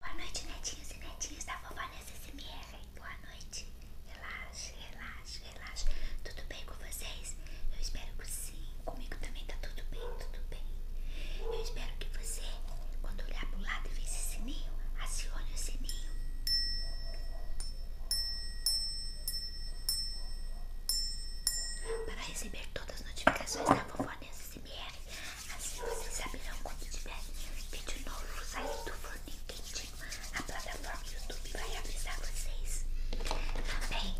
Boa noite, netinhos e netinhas da vovó Nessa SMR. Boa noite. Relaxe, relaxe, relaxe. Tudo bem com vocês? Eu espero que sim. Comigo também tá tudo bem, tudo bem. Eu espero que você, quando olhar pro lado e ver esse sininho, acione o sininho. Para receber todas as notificações da vovó Nessa SMR. Assim vocês saberão quando tiver é? vídeo novo saindo do forninho quentinho. A plataforma YouTube vai avisar vocês. Também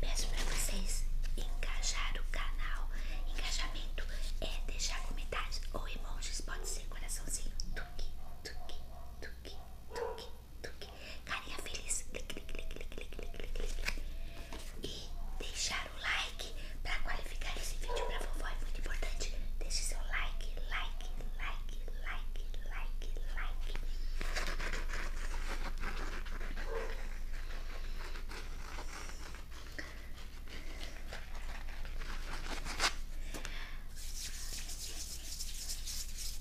peço para vocês engajar o canal. Engajamento é deixar comentários ou emojis, pode ser coraçãozinho. Tuque, tuque, tuque, tuque, tuque. Carinha feliz. Clic, clic, clic, clic, e deixar o like para qualificar esse vídeo para vovó é muito importante. Deixe seu like, like, like, like, like, like.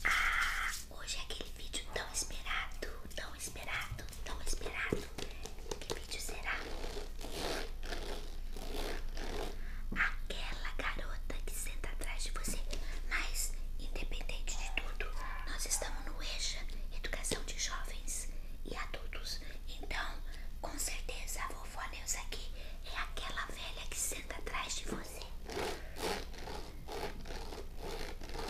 Ah, hoje é aquele vídeo tão esperado, tão esperado, tão esperado. Que vídeo será? Aquela garota que senta atrás de você, mas independente de tudo, nós estamos no EJA, Educação de Jovens e Adultos. Então, com certeza a vovó Neus aqui é aquela velha que senta atrás de você.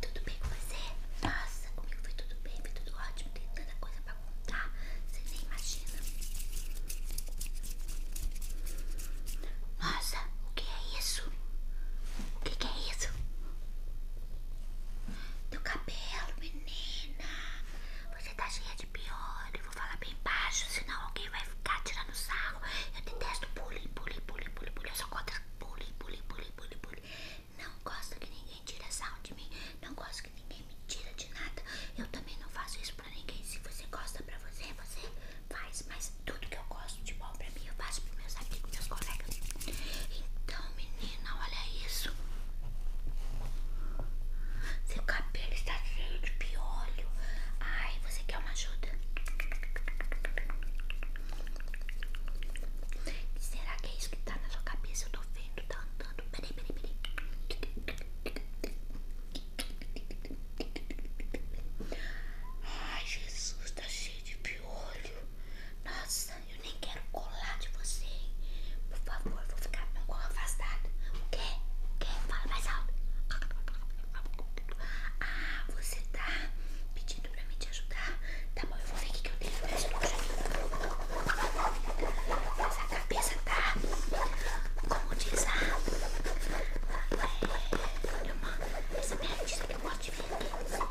Tudo bem com você? Nossa, comigo foi tudo bem, foi tudo ótimo. Tem tanta coisa pra contar, você nem imagina. Nossa, o que é isso? O que, é isso? Teu cabelo, menina. Você tá cheia de piolho. Vou falar bem baixo, senão alguém vai ficar tirando sarro. Eu detesto bullying, bullying, bullying, bullying sou contra bullying, bullying, bullying, bullying, bullying. Não gosto que ninguém tire sal de mim. Não gosto que ninguém me tire de nada. Eu também não faço isso pra ninguém. Se você gosta pra você, você faz. Mas tudo que eu gosto de bom pra mim, eu faço pros meus amigos, meus colegas. Então, menina, olha isso. Seu cabelo está cheio de piolho. Ai, você quer quer uma ajuda? Será que é isso que tá na sua cabeça? Eu tô vendo, tá andando. Peraí, peraí, peraí. Ai, Jesus, tá cheio de piolho. Nossa, eu nem quero colar de você, hein? Por favor, vou ficar um pouco afastada. O quê? O quê? Fala mais alto. Ah, você tá pedindo pra mim te ajudar? Tá bom, eu vou ver o que eu tenho mais Mas a cabeça tá, como diz a... É uma... Essa minha artista que eu gosto de ver aqui. Do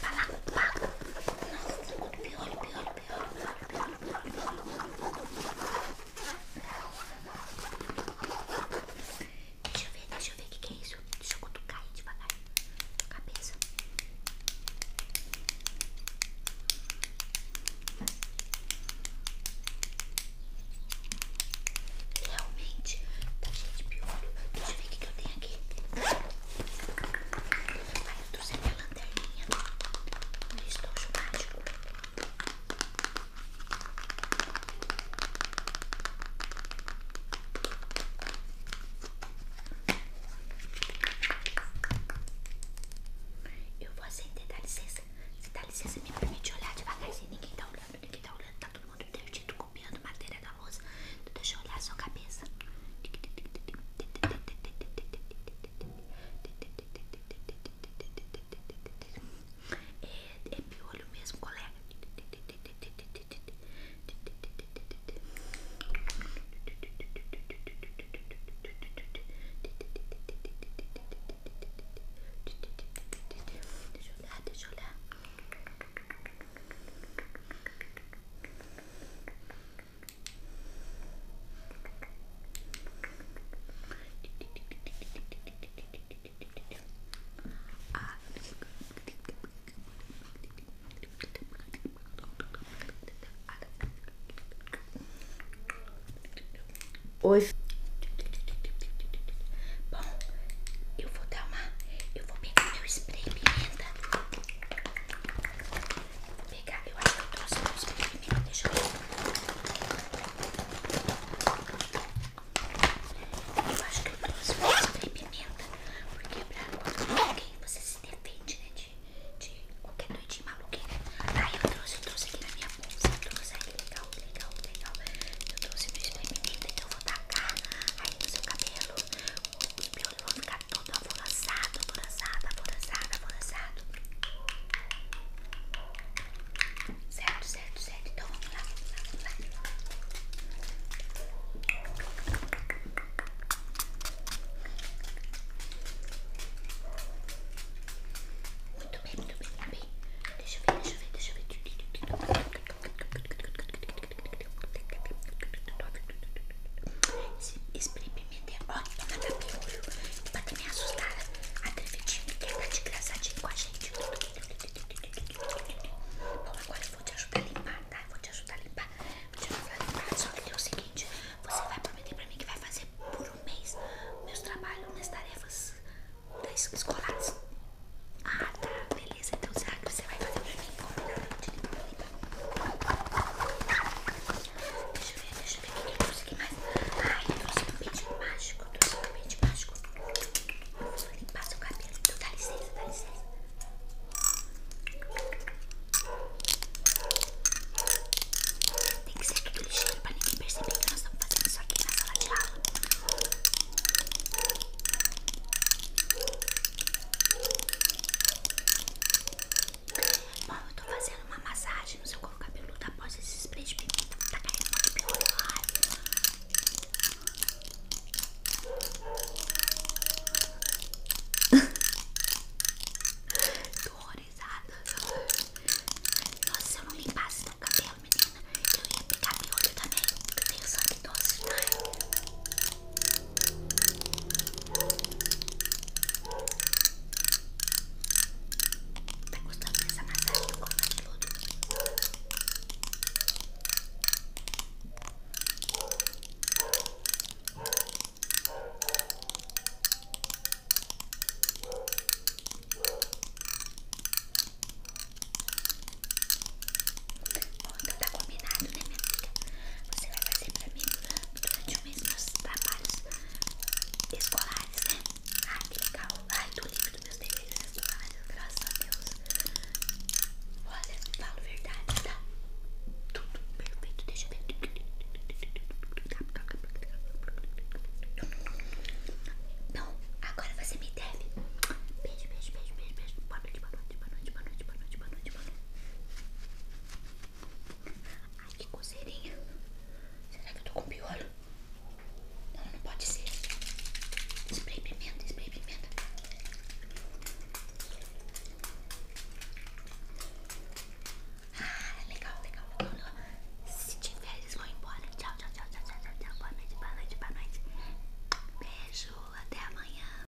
Palaco, do Palaco. Nossa, pior, pior, pior. Deixa eu ver, deixa eu ver o que, é isso. Deixa eu cutucar de devagar. Cabeça. Realmente tá cheio de piolho. Deixa eu ver o que, eu tenho aqui. Ai, eu trouxe a lanterninha. Olha, estou mágico. Eu vou acender, dá licença. Se dá licença, me permite olhar devagarzinho. Ninguém tá olhando, ninguém tá olhando. Tá todo mundo divertido, copiando matéria da moça. Então, deixa eu olhar a sua cabeça. É, pior é piolho mesmo, colega. Deixa Hoje. Bom, eu vou dar uma. Eu vou pegar meu spray pimenta pegar. Eu acho que eu trouxe alguns pequenininhos. Deixa eu ver. Eu acho que eu trouxe um spray pimenta. Porque pra quando alguém você se defende, né? De, de qualquer doidinho maluquinho. Aí eu trouxe, eu trouxe aqui na minha bolsa. Eu trouxe legal, legal, legal. Eu trouxe meu spray pimenta, então eu vou tacar aí no seu cabelo. O piolho vai ficar todo alvoraçado, alvoraçado, alvoraçado, alvoraçado errado. Certo, certo, então, vamos lá, Muito bem, muito bem, muito bem. Deixa eu ver, deixa eu ver, deixa eu ver. Ó, é maravilhoso. Pra ter me assustada. A Trevitinho quer tá de graçadinho com agora eu vou te ajudar a limpar, tá? vou te ajudar a limpar. Só que tem é o seguinte: você vai prometer pra mim que vai fazer por um mês meus trabalhos, minhas tarefas das tá, escolares. Ah, tá. Beleza. Então será que você vai fazer pra mim? Combinado. Te limpar. Deixa eu ver, deixa eu ver o que eu trouxe aqui mais. Ai, eu trouxe um pente mágico. Eu trouxe um pente mágico. Vou limpar seu cabelo. Então dá licença, dá licença. Tem que ser tudo ligeiro pra ninguém perceber que nós estamos fazendo isso aqui na sala de aula. Bom, eu tô fazendo uma massagem no seu couro cabeludo tá após esse spray de pimenta. Tá caindo muito pior. Tô horrorizada. Nossa, se eu não limpar teu cabelo, menina, eu ia pegar meu olho também. Eu tenho sangue doce, tá? Tá gostando dessa massagem com cabeludo? Bom, então tá combinado, né, minha amiga? Você vai fazer pra mim, durante o mês meus trabalhos escolares, né? Ai, que legal. Ai, tô livre dos meus deveres escolares, graças a Deus. Olha, falo verdade, tá? Tudo perfeito, deixa eu ver. Não, agora você me deve. Beijo, beijo, beijo, beijo, beijo. Boa noite, boa noite, boa noite, boa noite, boa noite, boa noite, boa noite. Ai, que coceirinha. Será que eu tô com piolho? Não, não pode ser. Spray pimenta, spray pimenta. Ah, legal, legal, legal, legal. Se tiver, eles vão embora. Tchau, tchau, tchau, tchau, tchau, tchau. Boa noite, boa noite, boa noite. Beijo, até amanhã.